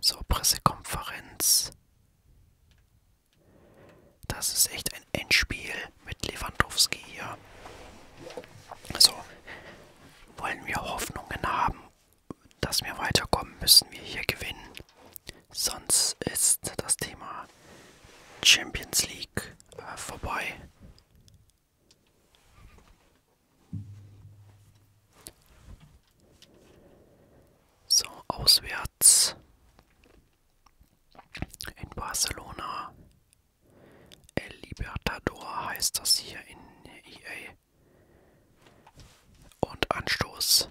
So, Pressekonferenz. Das ist echt ein Endspiel mit Lewandowski hier. Also, wollen wir Hoffnungen haben, dass wir weiterkommen, müssen wir hier gewinnen. Sonst ist das Thema Champions League äh, vorbei. So, auswärts in Barcelona. El Libertador heißt das hier in EA. Und Anstoß.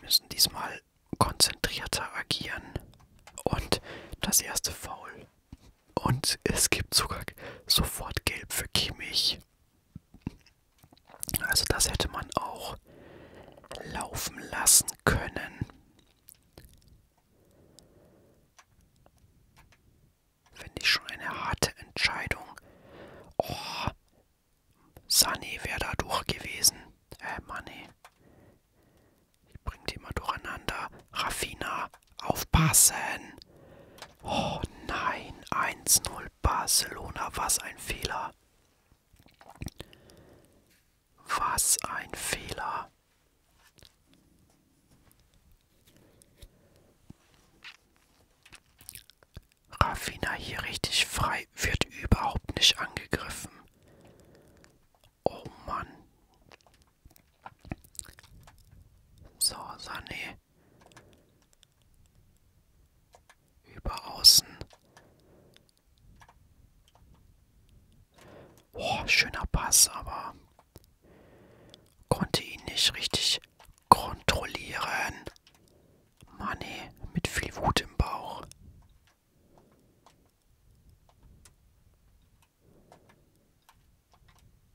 Müssen diesmal konzentrierter agieren. Und das erste Foul. Und es gibt sogar sofort Gelb für Kimmich. Also das hätte man auch laufen lassen können. Finde ich schon eine harte Entscheidung. Oh, Sunny wäre da durch gewesen. Äh, Money. Ich bringe die immer durcheinander. Raffina, aufpassen. Oh nein, 1-0 Barcelona, was ein Fehler. Was ein Fehler. Raffina hier richtig frei Polizei wird überhaupt nicht angegriffen. Oh Mann. So, Sané. Über außen. Boah, schöner Pass, aber konnte ihn nicht richtig kontrollieren. Mann, ey, mit viel Wut im Bauch.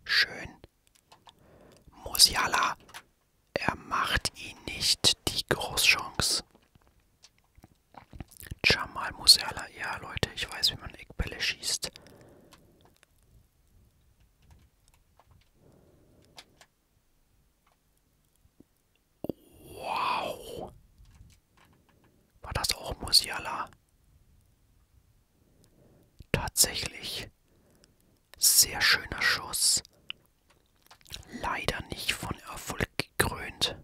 Schön. Musiala. Er macht ihn nicht die Großchance. Jamal Musiala. Ja, Leute, ich weiß, wie man Eckbälle schießt. Wow. War das auch Musiala? Tatsächlich. Sehr schöner Schuss. Leider nicht von Erfolg gekrönt.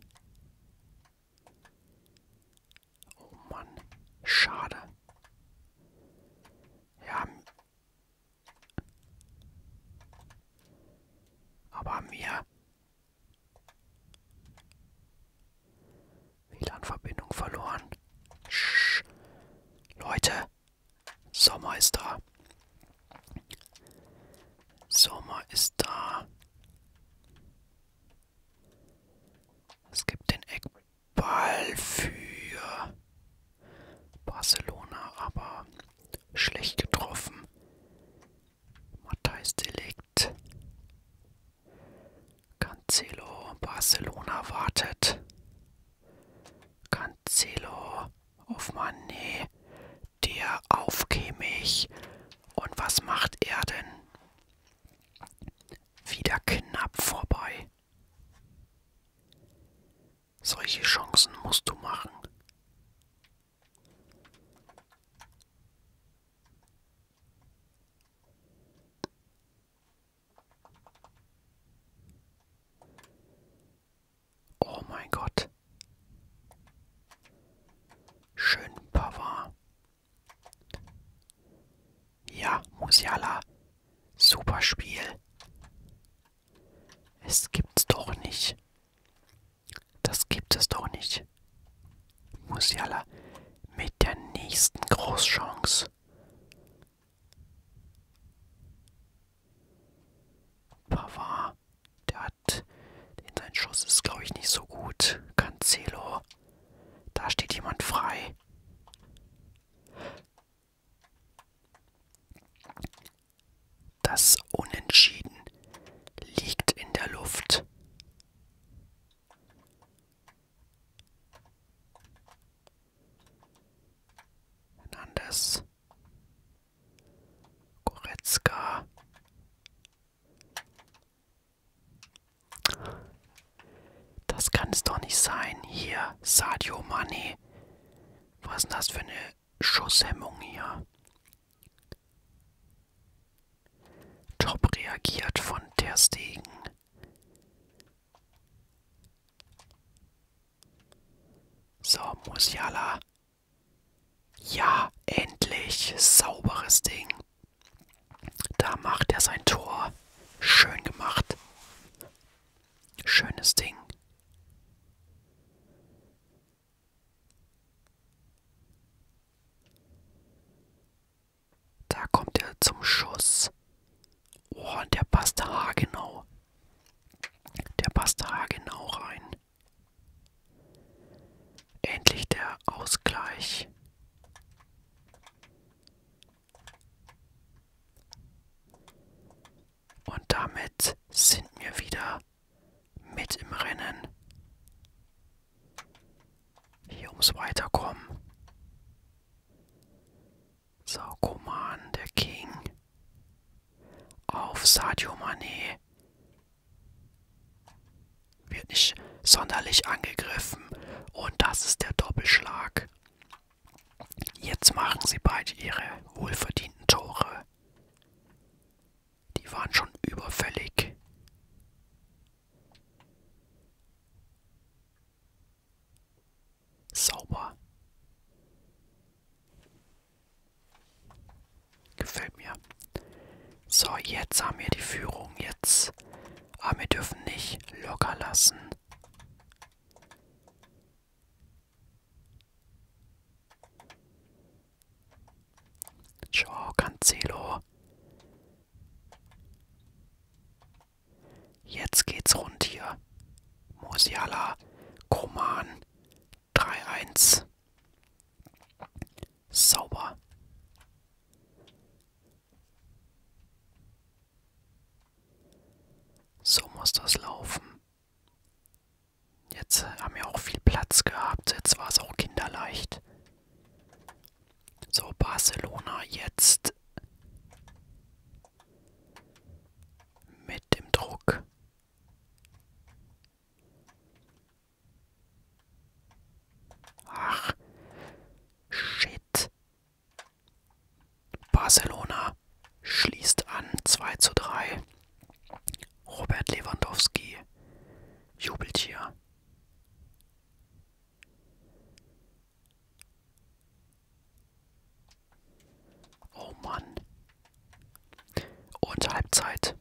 Oh Mann, schade. Ja. Aber mir WLAN-Verbindung verloren. Shh. Leute, Sommer ist da. Sommer ist da. Es gibt den Eckball für Barcelona, aber schlecht getroffen. Matthijs Delikt. Cancelo, Barcelona wartet. Cancelo auf Mané, der aufkämig. Und was macht er denn? Wieder knapp vorbei. Solche Chancen musst du machen. Oh mein Gott. Schön Pavard. Ja, Musiala. Super Spiel. Es gibt's doch nicht. Das gibt es doch nicht. Musiala mit der nächsten Großchance. Pavard, der hat, denn sein Schuss ist glaube ich nicht so gut. Cancelo, da steht jemand frei. Das Unentschieden liegt in der Luft. Hernandez. Goretzka. Das kann es doch nicht sein. Hier, Sadio Mane. Was ist denn das für eine Schusshemmung hier. Top reagiert von Ter Stegen. So, Musiala. Ja, endlich. Sauberes Ding. Da macht er sein Tor. Schön gemacht. Schönes Ding. Da kommt er zum Schuss. Oh, und der passt haargenau. Der passt haargenau rein. Endlich der Ausgleich. Und damit sind wir wieder mit im Rennen. Hier ums Weiterkommen. Sarkoman, der King. Auf Sadio Mané. Wird nicht sonderlich angegriffen. Und das ist der Doppelschlag. Jetzt machen sie beide ihre wohlverdienten Tore. Die waren schon überfällig. Sauber. Gefällt mir. So, jetzt haben wir die Führung. Jetzt. Aber wir dürfen nicht locker lassen. Ciao, Cancelo. Jetzt geht's rund hier. Musiala, Koman, 3-1. Sauber. So muss das laufen. Jetzt haben wir auch viel Platz gehabt. Jetzt war es auch kinderleicht. So, Barcelona jetzt mit dem Druck. Ach, shit. Barcelona schließt an 2 zu 3. Robert Lewandowski jubelt hier. Oh Mann. Und Halbzeit.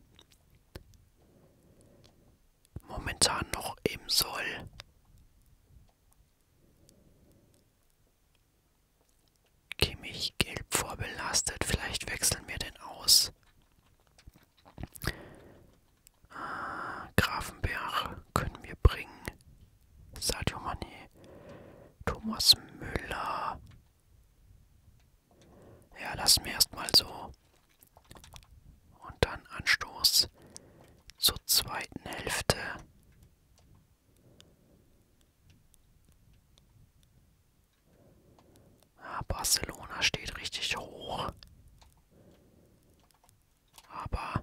Momentan noch im Soll. Kimmich gelb vorbelastet. Vielleicht wechseln wir den aus. Ah, Grafenberg können wir bringen. Sadio Mané. Thomas Müller. Ja, lassen wir erstmal so. Und dann Anstoß zur zweiten Hälfte. Ah, Barcelona steht richtig hoch. Aber...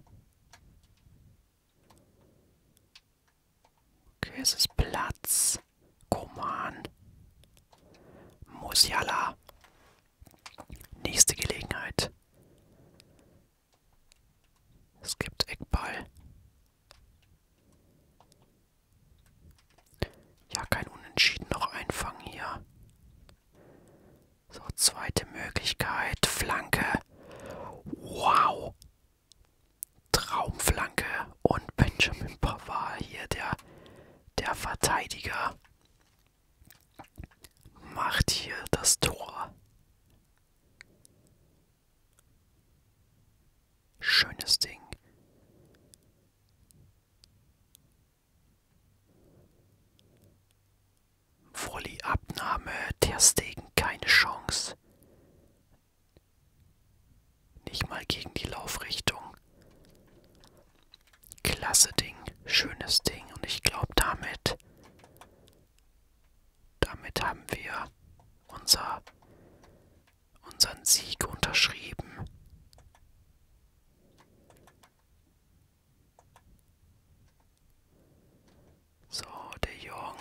Okay, es ist Platz. Koman. Musiala. Nächste Gelegenheit. Es gibt Eckball. Ja, kein Unentschieden noch einfangen hier. So, zweite Möglichkeit. Flanke. Wow. Traumflanke. Und Benjamin Pavard hier, der, der Verteidiger, macht hier das Tor. Schönes Ding. Volley Abnahme, Ter Stegen keine Chance. Nicht mal gegen die Laufrichtung. Klasse Ding, schönes Ding und ich glaube damit damit haben wir unser unseren Sieg unterschrieben. So, der Jong.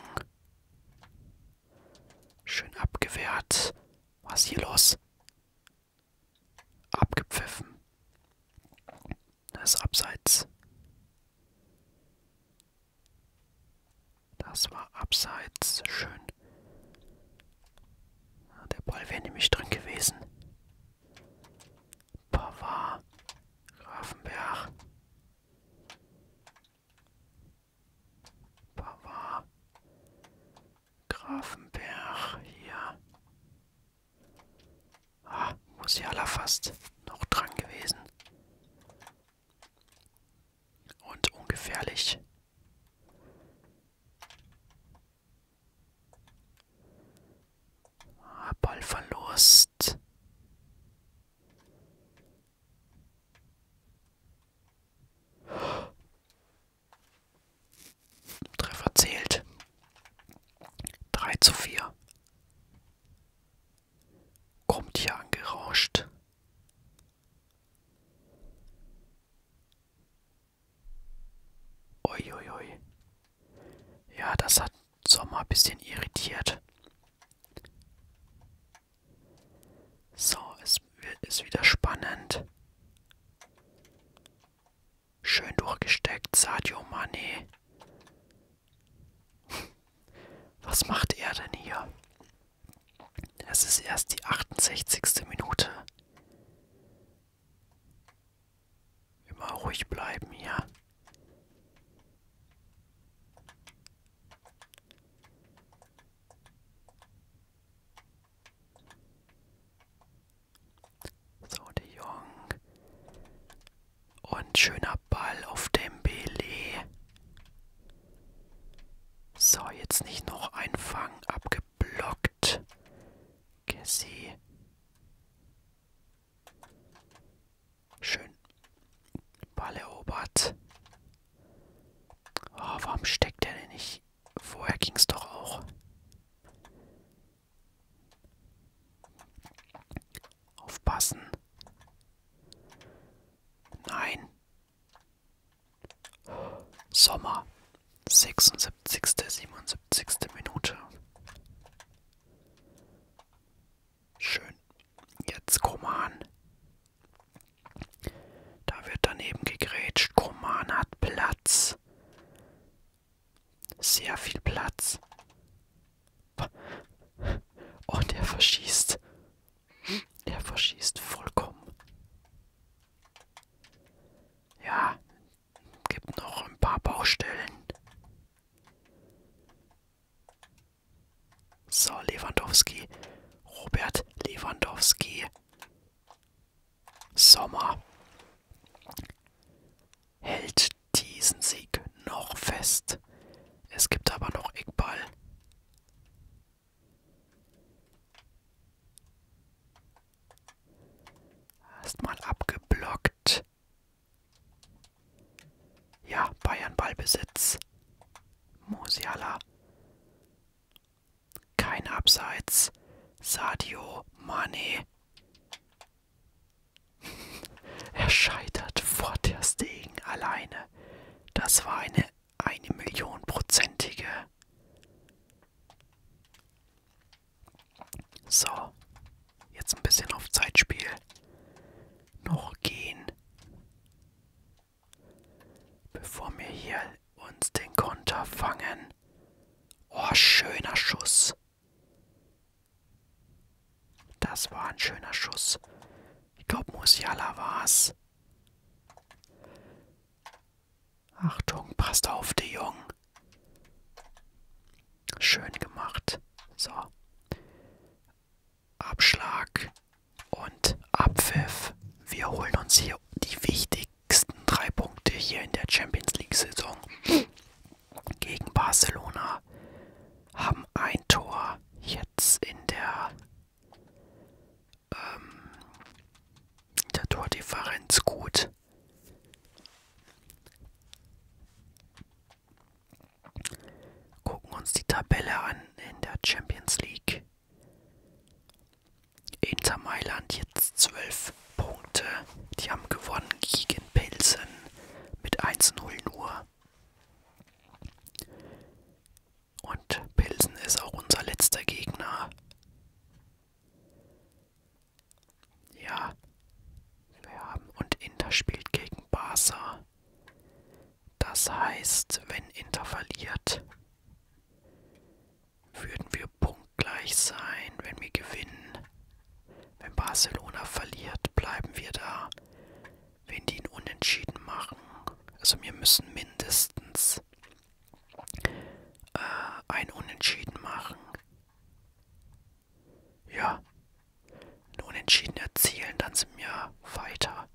Schön abgewehrt. Was hier los? Abgepfiffen. Das ist abseits. Das war abseits. Schön. Ah, der Ball wäre nämlich drin gewesen. Pavard. Grafenberg. Pavard. Grafenberg. Hier. Ah, Musiala fast noch dran gewesen und ungefährlich. Ah, Ballverlust. Treffer zählt. Drei zu vier. Kommt hier angerauscht. Uiuiui. Ui, ui. Ja, das hat Sommer ein bisschen irritiert. So, es ist wieder spannend. Schön durchgesteckt, Sadio Mane. Was macht er denn hier? Das ist erst die 68. Minute. Immer ruhig bleiben hier. So, De Jong. Und schöner Ball auf Dembele. So, jetzt nicht noch ein Fang abgeblockt. Cassie. Schön. Ball erobert. Oh, warum steckt der denn nicht? Vorher ging's doch auch. Aufpassen. Nein. Sommer, 76. 77. Minute. Schön. Jetzt Koman. Da wird daneben gegrätscht. Koman hat Platz. Sehr viel Platz. Und er verschießt. Er verschießt vollkommen. Ja, gibt noch ein paar Baustellen. So, Lewandowski. Robert Lewandowski. Sommer hält diesen Sieg noch fest. Es gibt aber noch Eckball. Erstmal abgeblockt. Ja, Bayern Ballbesitz. Musiala. Kein Abseits. Sadio Mane. er scheitert vor der Stegen alleine. Das war eine eine Millionprozentige. So, jetzt ein bisschen auf Zeitspiel. Noch gehen. Bevor wir hier uns den Konter fangen. Oh, schöner Schuss. Das war ein schöner Schuss. Ich glaube, Musiala war's. Achtung, passt auf, der Jung. Schön gemacht. So. Abschlag und Abpfiff. Wir holen uns hier die wichtigsten drei Punkte hier in der Champions League-Saison gegen Barcelona. Haben ein Tor jetzt in der ähm, der Tordifferenz gut. Gucken uns die Tabelle an in der Champions League. Inter Mailand jetzt 12 Punkte. Die haben gewonnen gegen Pilsen mit 1-0 nur. Und Pilsen ist auch unser letzter Gegner. Ja, wir haben. Und Inter spielt gegen Barca. Das heißt, wenn Inter verliert, würden wir punktgleich sein, wenn wir gewinnen. Wenn Barcelona verliert, bleiben wir da. Wenn die ihn unentschieden machen, also wir müssen mindestens äh, ein Unentschieden machen. Ja, ein Unentschieden erzielen, dann sind wir weiter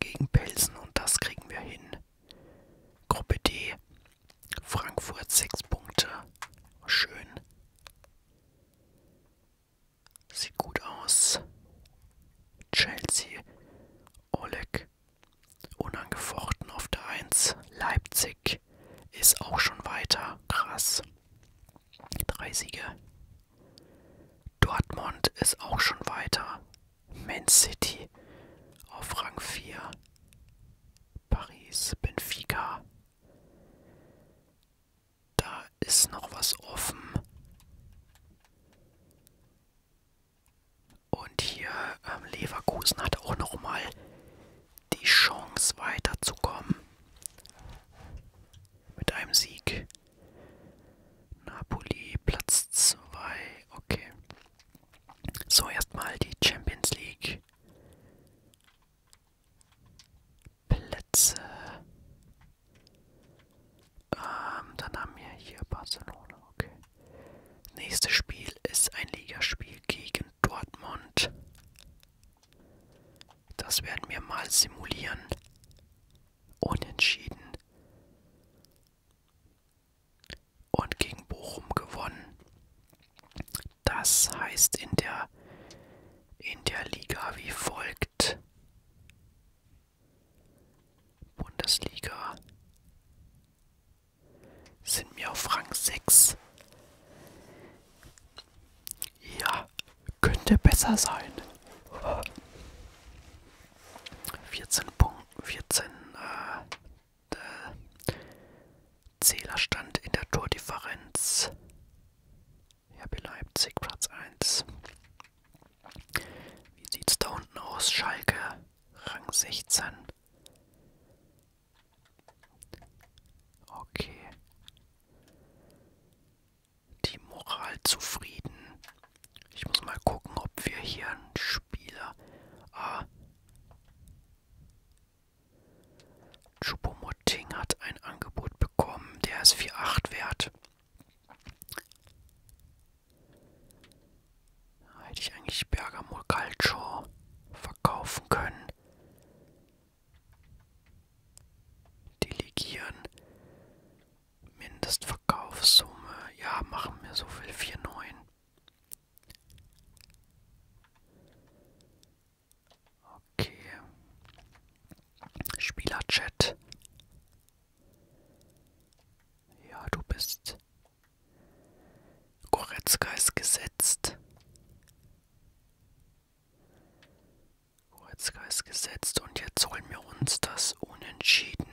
gegen Pilsen und das kriegen wir hin. Gruppe D, Frankfurt 6 Punkte, schön. Sieht gut aus. Chelsea, Oleg Unangefochten auf der 1 Leipzig ist auch schon weiter. Krass. Drei Siege. Dortmund ist auch schon weiter. Man City auf Rang 4. Paris, Benfica. Da ist noch was offen. Und hier ähm, Leverkusen hat auch nochmal die Chance weiterzukommen. Mit einem Sieg. Napoli Platz 2. Okay. So, erstmal die Champions League. Plätze. Ähm, dann haben wir hier Barcelona, okay. Nächstes Spiel ist ein Ligaspiel gegen Dortmund. Das werden wir mal simulieren. Unentschieden. Und gegen Bochum gewonnen. Das heißt in der in der Liga wie folgt. Bundesliga sind wir auf Rang 6. Ja, könnte besser sein. 14 Punkte, 14 äh, äh, Zählerstand in der Tordifferenz. Ja, Leipzig Platz 1. Wie sieht's da unten aus? Schalke, Rang 16. Okay. Die Moral zufrieden. Ich muss mal gucken, ob wir hier einen Spieler. Ah. Chupomoting hat ein Angebot bekommen. Der ist 4,8 wert. Hätte ich eigentlich Bergamo Calcio verkaufen können. Delegieren. Mindestverkaufssumme. Ja, machen wir so viel. 4,9. Okay. Spielerchat. Ja, du bist Goretzka ist gesetzt. Goretzka ist gesetzt und jetzt holen wir uns das Unentschieden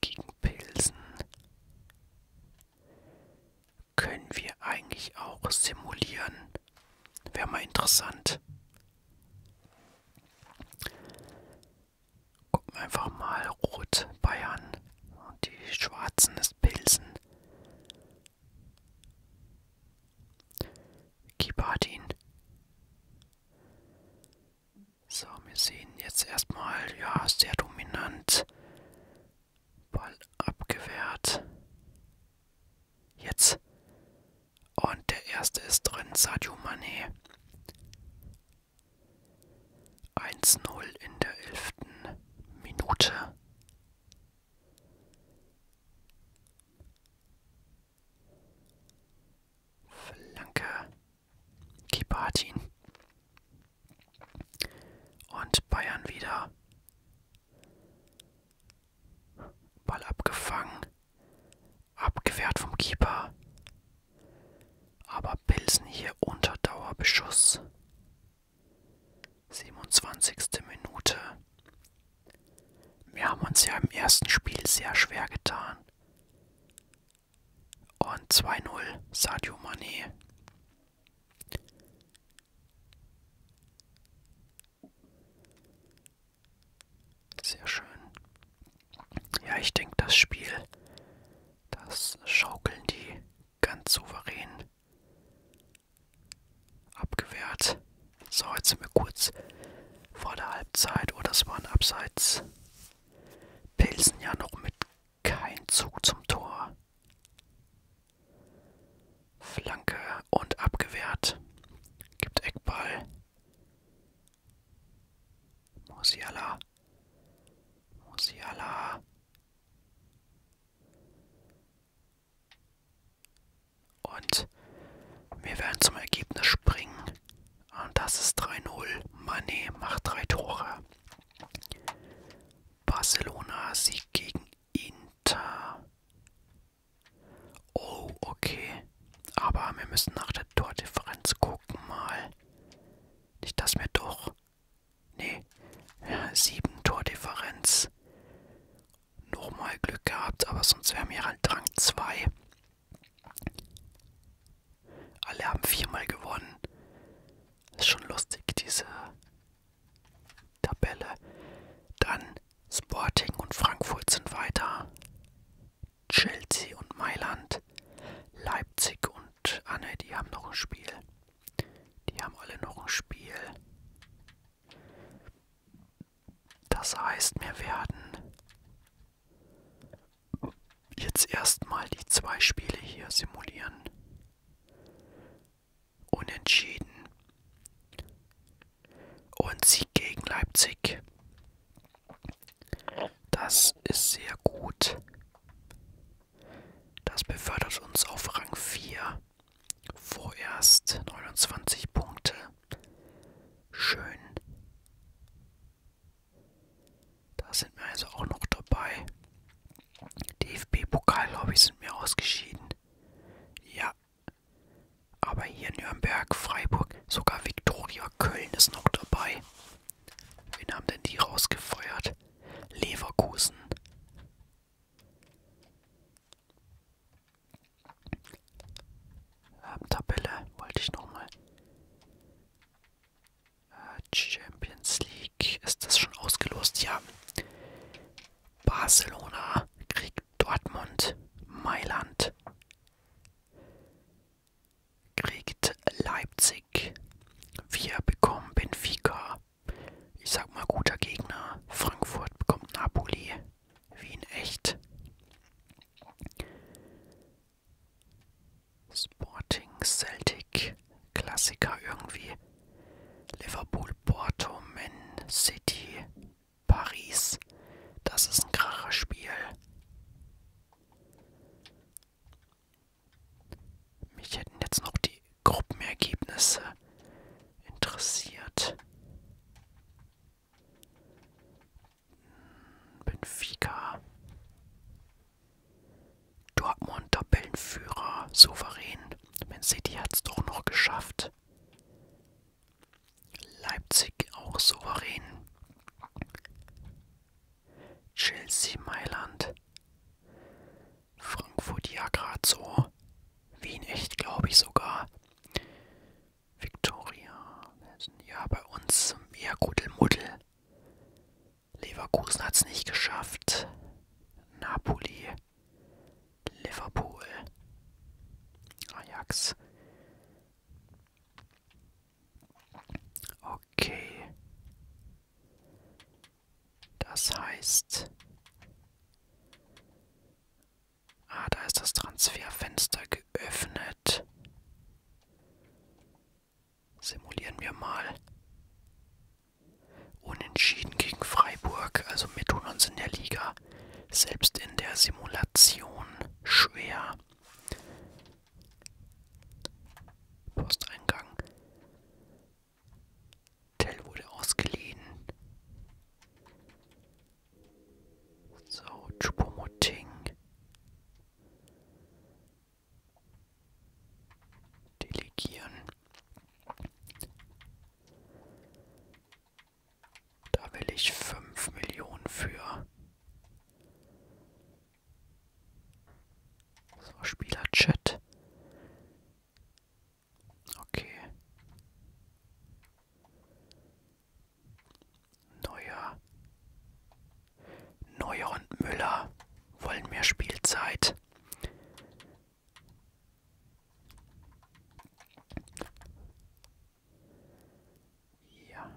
gegen Pilsen. Können wir eigentlich auch simulieren? Wäre mal interessant. Gucken wir einfach mal Rot Bayern und die Schwarzen ist Pilsen. Keeper hat ihn. So, wir sehen jetzt erstmal, ja, sehr dominant. Ball abgewehrt. Jetzt. Und der erste ist drin, Sadio Mané. Eins null in der elften Minute. Flanke. Keeper hat ihn. Und Bayern wieder. Ball abgefangen. Abgewehrt vom Keeper. Aber Pilsen hier unter Dauerbeschuss. 27. Minute. Wir haben uns ja im ersten Spiel sehr schwer getan. Und 2-0 Sadio Mane. Sehr schön. Ja, ich denke, das Spiel, das schaukeln die ganz souverän abgewehrt. So, jetzt sind wir kurz vor der Halbzeit. Oder oh, es war ein Abseits. Pilsen ja noch mit kein Zug zum Tor. Flanke und abgewehrt. Gibt Eckball. Musiala. Musiala. Und wir werden zum Ergebnis springen. Und das ist 3-0. Mané macht drei Tore. Barcelona Sieg gegen Inter. Oh, okay. Aber wir müssen nach der Tordifferenz gucken mal. Nicht, dass wir doch. Nee. Ja, sieben Tordifferenz. Nochmal Glück gehabt, aber sonst wären wir halt Rang 2. Alle haben viermal gewonnen. Ist schon lustig, diese Tabelle. Dann Sporting und Frankfurt sind weiter. Chelsea und Mailand, Leipzig und Anne, ah die haben noch ein Spiel. Die haben alle noch ein Spiel. Das heißt, wir werden jetzt erstmal die zwei Spiele hier simulieren. Unentschieden. Und Sieg gegen Leipzig. Das ist sehr gut. Das befördert uns auf Rang 4. Vorerst 29 Punkte. Schön. Da sind wir also auch noch dabei. DFB-Pokal-Lobby sind mir ausgeschieden. Ja. Aber hier Nürnberg, Freiburg, sogar Viktoria Köln ist noch dabei. Wen haben denn die rausgefeuert? Leverkusen. Ähm, Tabelle wollte ich nochmal. Äh, Champions League. Ist das schon ausgelost? Ja. Barcelona kriegt Dortmund. Mailand kriegt Leipzig. Wir bekommen Benfica. Ich sag mal guter Gegner. Frankfurt bekommt Napoli. Wie in echt. Sporting Celtic. Klassiker irgendwie. Liverpool, Porto, Man City, Paris. Das ist ein Kracherspiel. Mich hätten jetzt noch die Gruppenergebnisse interessiert. Hm, Benfica. Dortmund Tabellenführer, souverän. Man City hat es doch noch geschafft. Leipzig auch souverän. Chelsea Mailand, Frankfurt ja gerade so, Wien echt glaube ich sogar, Victoria, ja bei uns eher Gudelmuddel, Leverkusen hat es nicht geschafft, Napoli, Liverpool, Ajax, Okay. Das heißt... Ah, da ist das Transferfenster geöffnet. Simulieren wir mal. Unentschieden gegen Freiburg, also wir tun uns in der Liga selbst in der Simulation schwer. Posteingang. Tell wurde ausgeliehen. So, Chupomoting. Delegieren. Da will ich fünf Millionen für. So, Spielerchat. Okay. Neuer. Neuer und Müller wollen mehr Spielzeit. Ja,